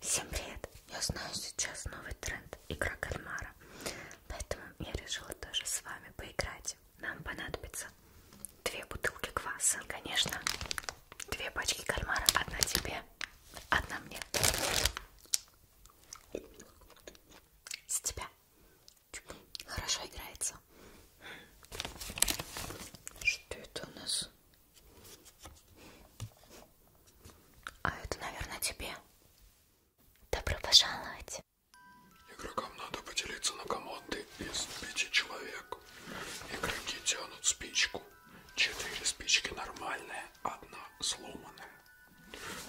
Всем привет! Я знаю сейчас новый тренд игра кальмара, поэтому я решила тоже с вами поиграть. Нам понадобится две бутылки кваса, конечно, две пачки кальмара, одна тебе, одна мне. С тебя. Хорошо играется. Что это у нас? А это, наверное, тебе. Добро пожаловать. Игрокам надо поделиться на команды из пяти человек. Игроки тянут спичку. Четыре спички нормальные, одна сломанная.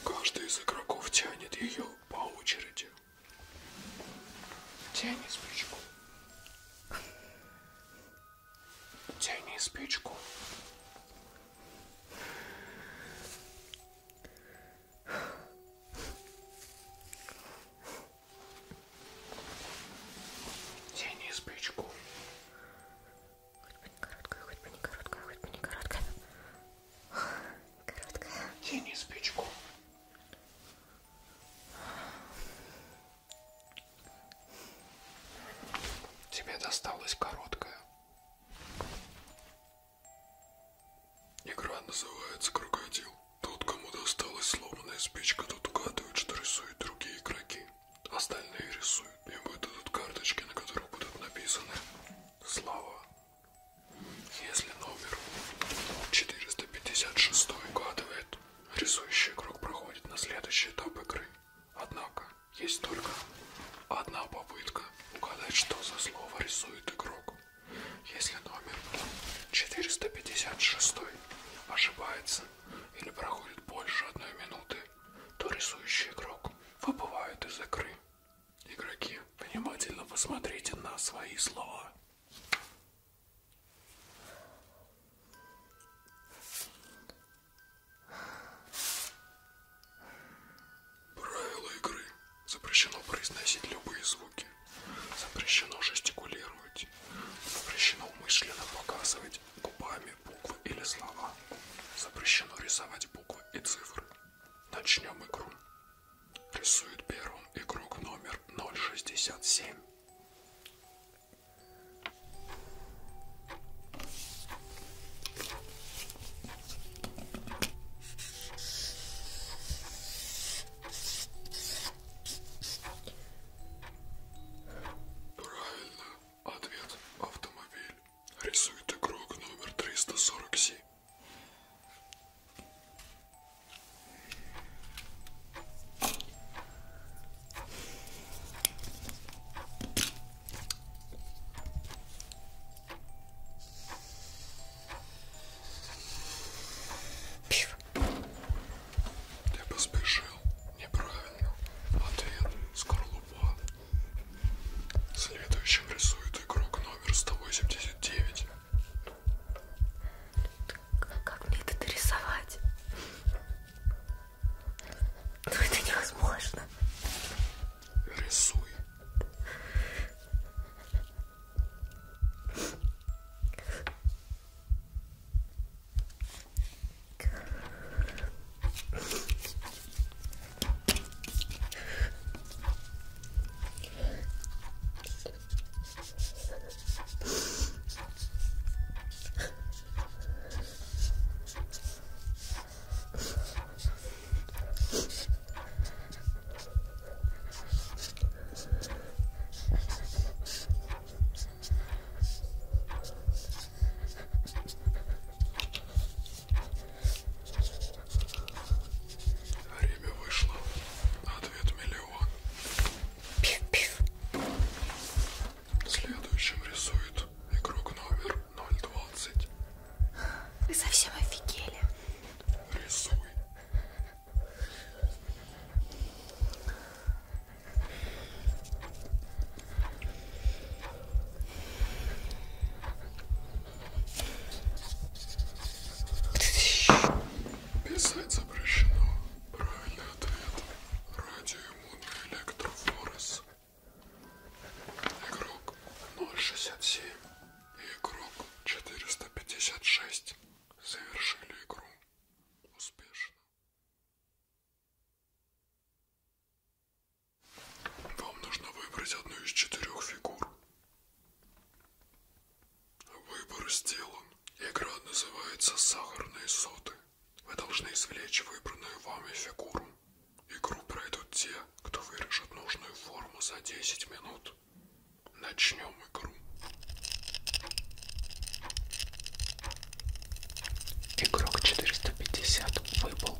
Каждый из игроков тянет ее по очереди. Тяни спичку. Тяни спичку. Тяни спичку. Хоть бы не короткая, хоть бы не короткая, хоть бы не короткая. Короткая. Тяни спичку. Тебе досталась короткая. Игра называется «Крокодил». Тот, кому досталась сломанная спичка, тот угадывает, что рисуют другие игроки. Остальные рисуют. Им выдадут карточки, на которых будут написаны слова. Если номер 456 угадывает, рисующий игрок проходит на следующий этап игры. Однако, есть только одна попытка угадать, что за слово рисует игрок. Если номер 456 ошибается или проходит больше одной минуты, то рисующий игрок выбывает из игры. Игроки, внимательно посмотрите на свои слова. Правила игры. Запрещено произносить любые звуки. Запрещено жестикулировать. Запрещено умышленно показывать губами буквы или слова. Запрещено рисовать буквы и цифры. Начнем игру. Рисует первым игрок номер 067. Правильно. Ответ автомобиль. Рисует игрок номер 347. Пив. Ты поспешил. Неправильно. Ответ – скорлупа. Следующим рисует игрок номер 189. Как мне это дорисовать? Но это невозможно. Рисуй. Время вышло. Ответ миллион. Пиф-пиф. Следующим рисует игрок номер 020. Вы совсем офигели. Рисуй. Писать запрещено. Правильный ответ. Радиоиммунный электрофорез. Игрок 067 и игрок 456 завершили игру успешно. Вам нужно выбрать одну из четырех фигур. Выбор сделан. Игра называется «Сахарные соты». Вы должны извлечь выбранную вами фигуру. Игру пройдут те, кто вырежет нужную форму за 10 минут. Начнем игру. Игрок 450 выпал.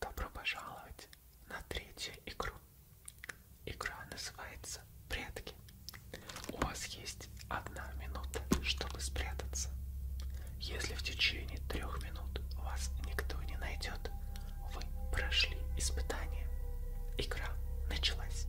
Добро пожаловать на третью игру. Игра называется «Прятки». У вас есть одна минута, чтобы спрятаться. Если в течение трех минут вас никто не найдет, вы прошли испытание. Игра началась.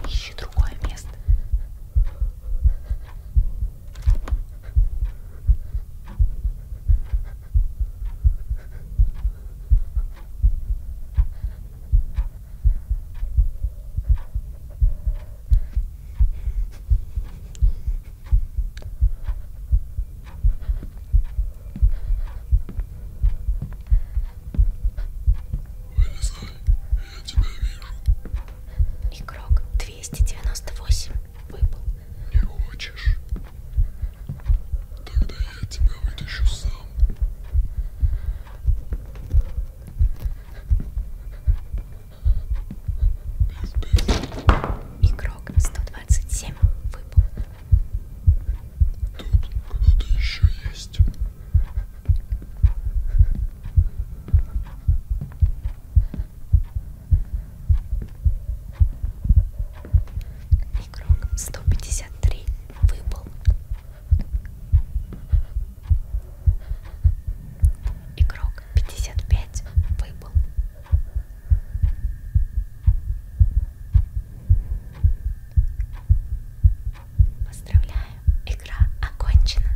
Поищи другое место. Вылезай, я тебя вижу. Игрок 298 выпал. Не хочешь? Тогда я тебя вытащу сам. Игрок 127 выпал. Тут кто-то еще есть. Игрок 153 выпал. Игрок 55 выпал. Поздравляю, игра окончена.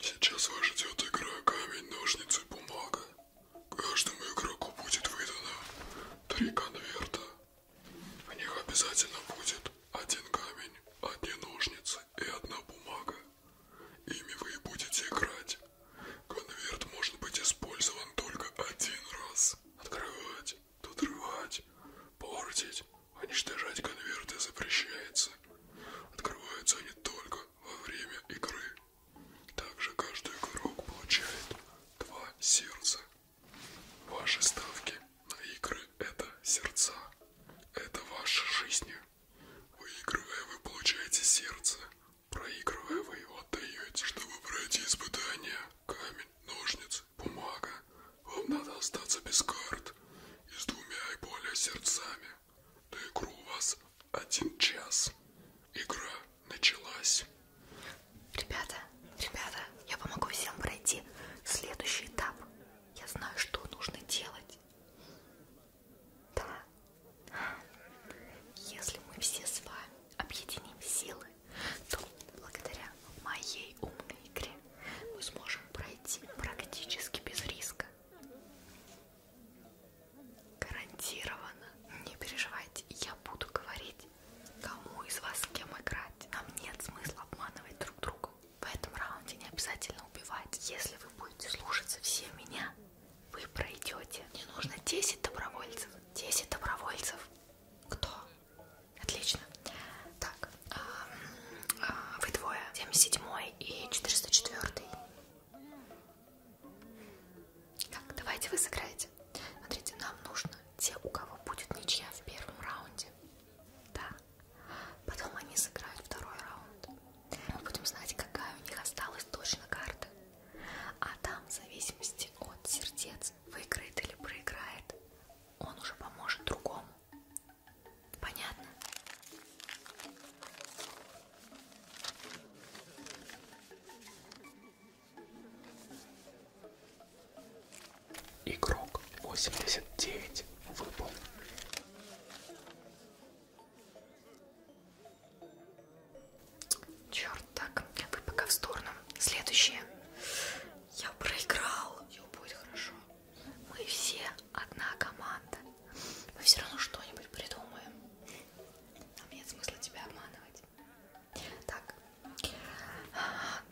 Сейчас вас ждет игра камень, ножницы, бумага. Каждому игроку будет выдано три конверта. В них обязательно будет один камень, одни ножницы и одна бумага. Ими вы и будете играть. Конверт может быть использован только один раз. Открывать, отрывать, портить, уничтожать конверты запрещается. Открываются они только во время игры. Также каждый игрок получает два сердца. Ваши ставки на игры – это сердца. Это ваши жизни. Выигрывая, вы получаете сердце. Проигрывая, вы его отдаете. Чтобы пройти испытания, камень, ножницы, бумага, вам надо остаться без карт и с двумя и более сердцами. На игру у вас один час. Игра началась. Ребята, ребята, я помогу всем пройти следующий этап. Я знаю, что нужно делать. Да. Если мы все с вами объединим силы, то благодаря моей умной игре мы сможем пройти практически без риска. Гарантированно. Не переживайте, я буду говорить, кому из вас с кем играть. Нам нет смысла обманывать друг друга. В этом раунде не обязательно убивать. Если вы будете слушаться все меня, вы пройдете. Мне нужно 10 добровольцев. 10 добровольцев. Кто? Отлично. Так, а, вы двое. 77 и 404. Так, давайте вы сыграете. Смотрите, нам нужно те, у кого будет ничья в первом раунде. Да, Потом они сыграют второй раунд. Мы будем знать, какая у них осталась точно карта. А там, в зависимости от сердец, выиграет или проиграет, он уже поможет другому. Понятно? Игрок 89 выпал. Черт, так, вы пока в сторону. Следующее. Я проиграл. Все будет хорошо. Мы все одна команда. Мы все равно что-нибудь придумаем. Нам нет смысла тебя обманывать. Так,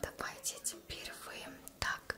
давайте теперь вы... Так,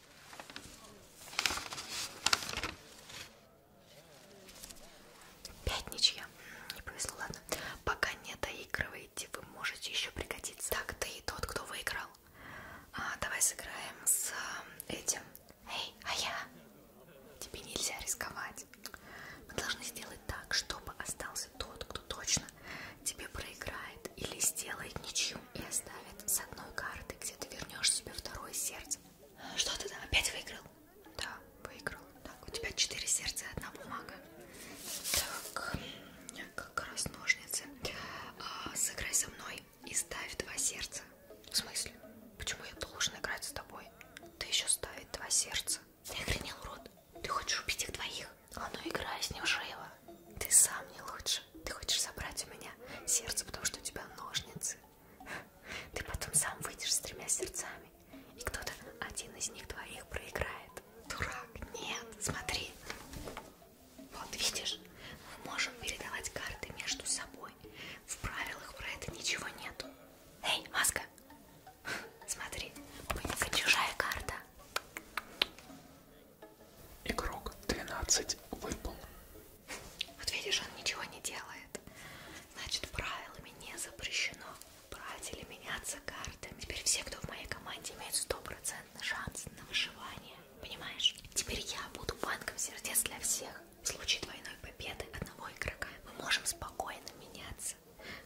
Пять ничья. Не повезло, ладно. Пока не доигрываете, вы можете еще пригодиться. Так, ты и тот, кто выиграл. А, давай сыграем с э, этим. Эй, а я? Тебе нельзя рисковать. Мы должны сделать так, чтобы остался тот, кто точно тебе проиграет или сделает ничью и оставит с одной карты, где ты вернешь себе второе сердце. Что ты там опять выиграл? Да, выиграл. Так, у тебя четыре сердца и одна бумага. Так, как раз ножницы. А, сыграй со мной и ставь два сердца. В смысле? Почему я должен играть с тобой? Ты еще ставить два сердца. Ты охренел, урод. Ты хочешь убить их двоих? А ну играй с ним живо. Ты сам не лучше. Ты хочешь забрать у меня сердце, потому что у тебя ножницы. Ты потом сам выйдешь с тремя сердцами, и кто-то один из них твоих проиграет. Дурак, нет, смотри. Вот видишь, мы можем передавать карты между собой. В правилах про это ничего нету. Эй, маска! Смотри, у чужая карта. Игрок 12 выпал. Вот видишь, он ничего не делает. Значит, правилами не запрещено брать или меняться картами. Теперь все, кто в моей команде, имеют стопроцентный шанс на выживание. Понимаешь? Теперь я буду банком сердец для всех. В случае двойной победы одного игрока мы можем спокойно меняться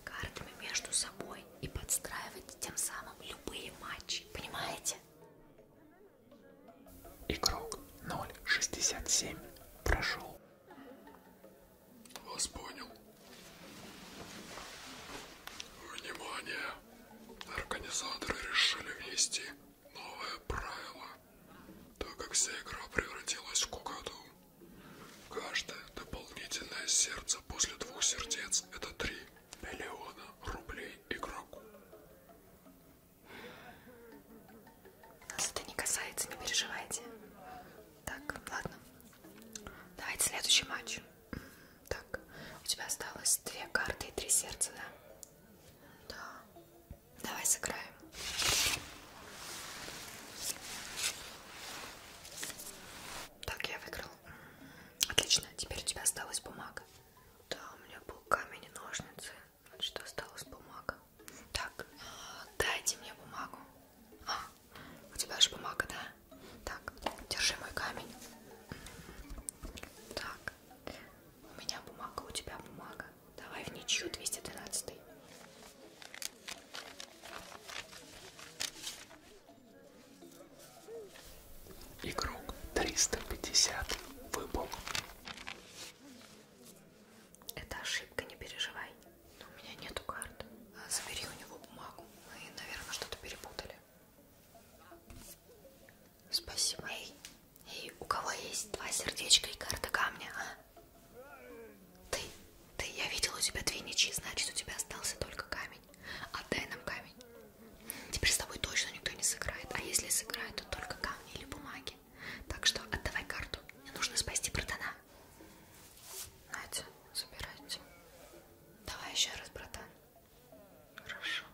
картами между собой и подстраивать тем самым любые матчи. Понимаете? Игрок 067 прошел. Вас понял. Внимание! Организаторы решили внести новое правило, так как вся игра превратилась в кукаду. Каждое дополнительное сердце после двух сердец это 3 миллиона рублей игроку. Нас это не касается, не переживайте. Так, ладно. Давайте следующий матч. Так, у тебя осталось две карты и три сердца, да? Да. Давай сыграем. Так, я выиграл. Отлично, теперь у тебя осталась бумага. Да, у меня был камень и ножницы. Вот что осталось бумага. Так, дайте мне бумагу. А, у тебя же бумага, да? Так, держи мой камень. Так, у меня бумага, у тебя бумага. Давай в ничью 212. Игрок 350 выпал. Это ошибка, не переживай. Но у меня нету карт. А, забери у него бумагу. Мы, наверное, что-то перепутали. Спасибо. Эй, эй, у кого есть два сердечка и карта камня, а? Ты, ты, я видела у тебя две ничьи, значит, у тебя остался только камень. Отдай а нам камень. Теперь с тобой точно никто не сыграет. А если сыграет, то только камни или бумаги. Так что отдавай карту. Мне нужно спасти братана. Надя, забирайте. Давай еще раз, братан. Хорошо.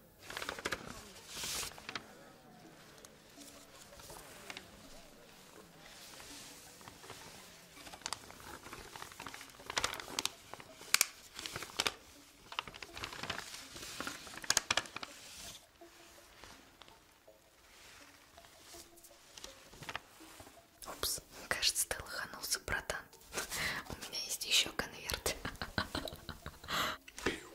Упс, кажется, ты лоханулся, братан. У меня есть еще конверт.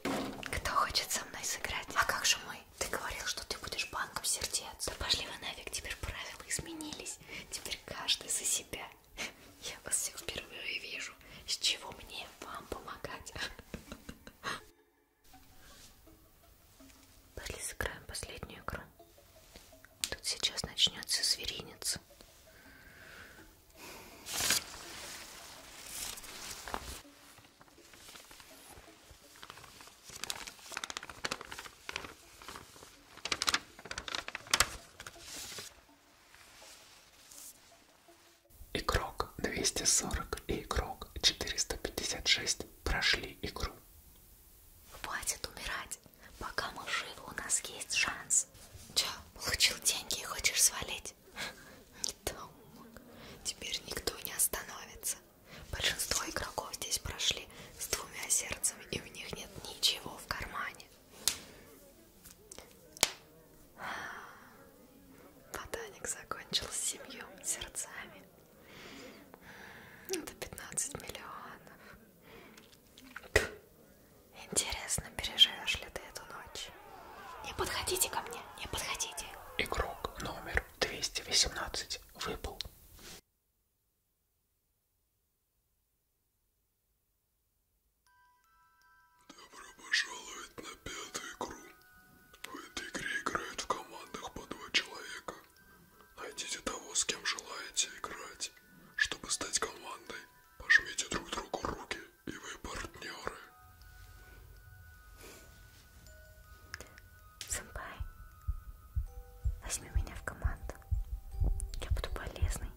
Кто хочет со мной сыграть? А как же мой? Ты говорил, что ты будешь банком сердец. Да пошли вы нафиг, теперь правила изменились. Теперь каждый за себя. Я вас всех впервые вижу. С чего мне вам помогать? Пошли сыграем последнюю игру. Тут сейчас начнется зверинец. Игрок 240 и игрок 456 прошли игру. Хватит умирать. Пока мы живы, у нас есть шанс. Че, получил деньги и хочешь свалить? Не таумок. Теперь никто не остановится. Большинство игроков здесь прошли с двумя сердцами, и у них нет ничего в кармане. Ботаник закончил с семью сердцами. Это 15 миллионов. Интересно, переживешь ли ты эту ночь? Не подходите ко мне, не подходите. Игрок номер 218 выпал. Добро пожаловать на пятую игру. В этой игре играют в командах по два человека. Найдите того, с кем желаете играть. Чтобы стать командой, пожмите друг другу руки, и вы партнеры. Сэмпай, возьми меня в команду. Я буду полезной.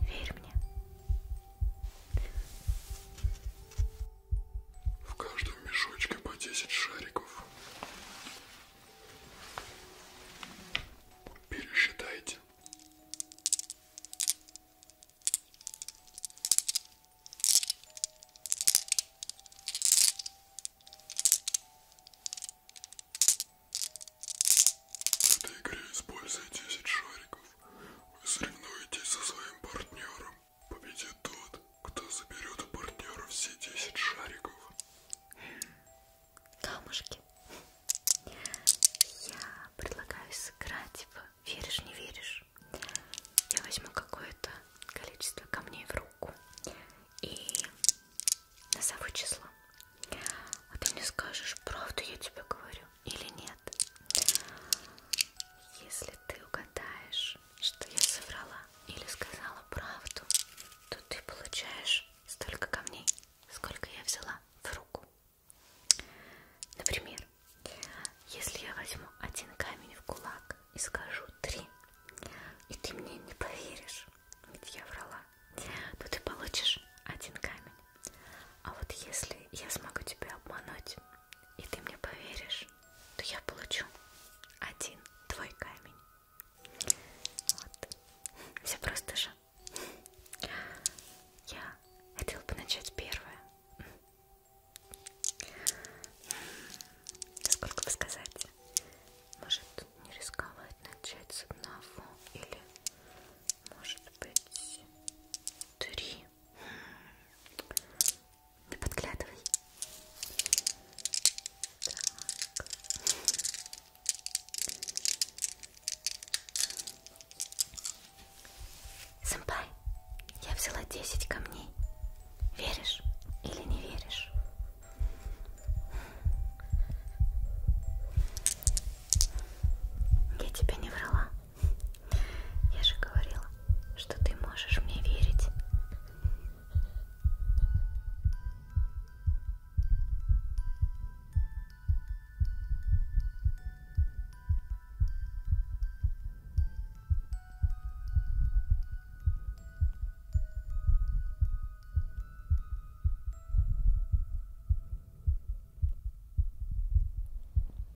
Верь мне. В каждом мешочке по 10 шариков. Пересчитайте. В этой игре используй 10 шариков. Вы соревнуетесь со своим партнером. Победит тот, кто заберет у партнера все 10 шариков. Камушки. Я предлагаю сыграть в веришь, не веришь. Я возьму какое-то количество камней в руку и назову число. А ты мне скажешь, правду я тебе говорю или нет. Если ты угадаешь, что я соврала или сказала правду, то ты получаешь столько камней, сколько я взяла в руку. Например, если я возьму один камень в кулак и скажу три, и ты мне не поверишь, ведь я врала, то ты получишь один камень. А вот если я смогу тебя обмануть и ты мне поверишь, то я получу один твой камень. Вот. Все просто же. Я хотела бы начать первое. Сколько вы сказать? Может не рисковать начать с одного или может быть три. Не подглядывай. Так. Сэмпай, я взяла 10 камней. Веришь или не веришь? Я тебя не врала. Я же говорила, что ты можешь мне верить.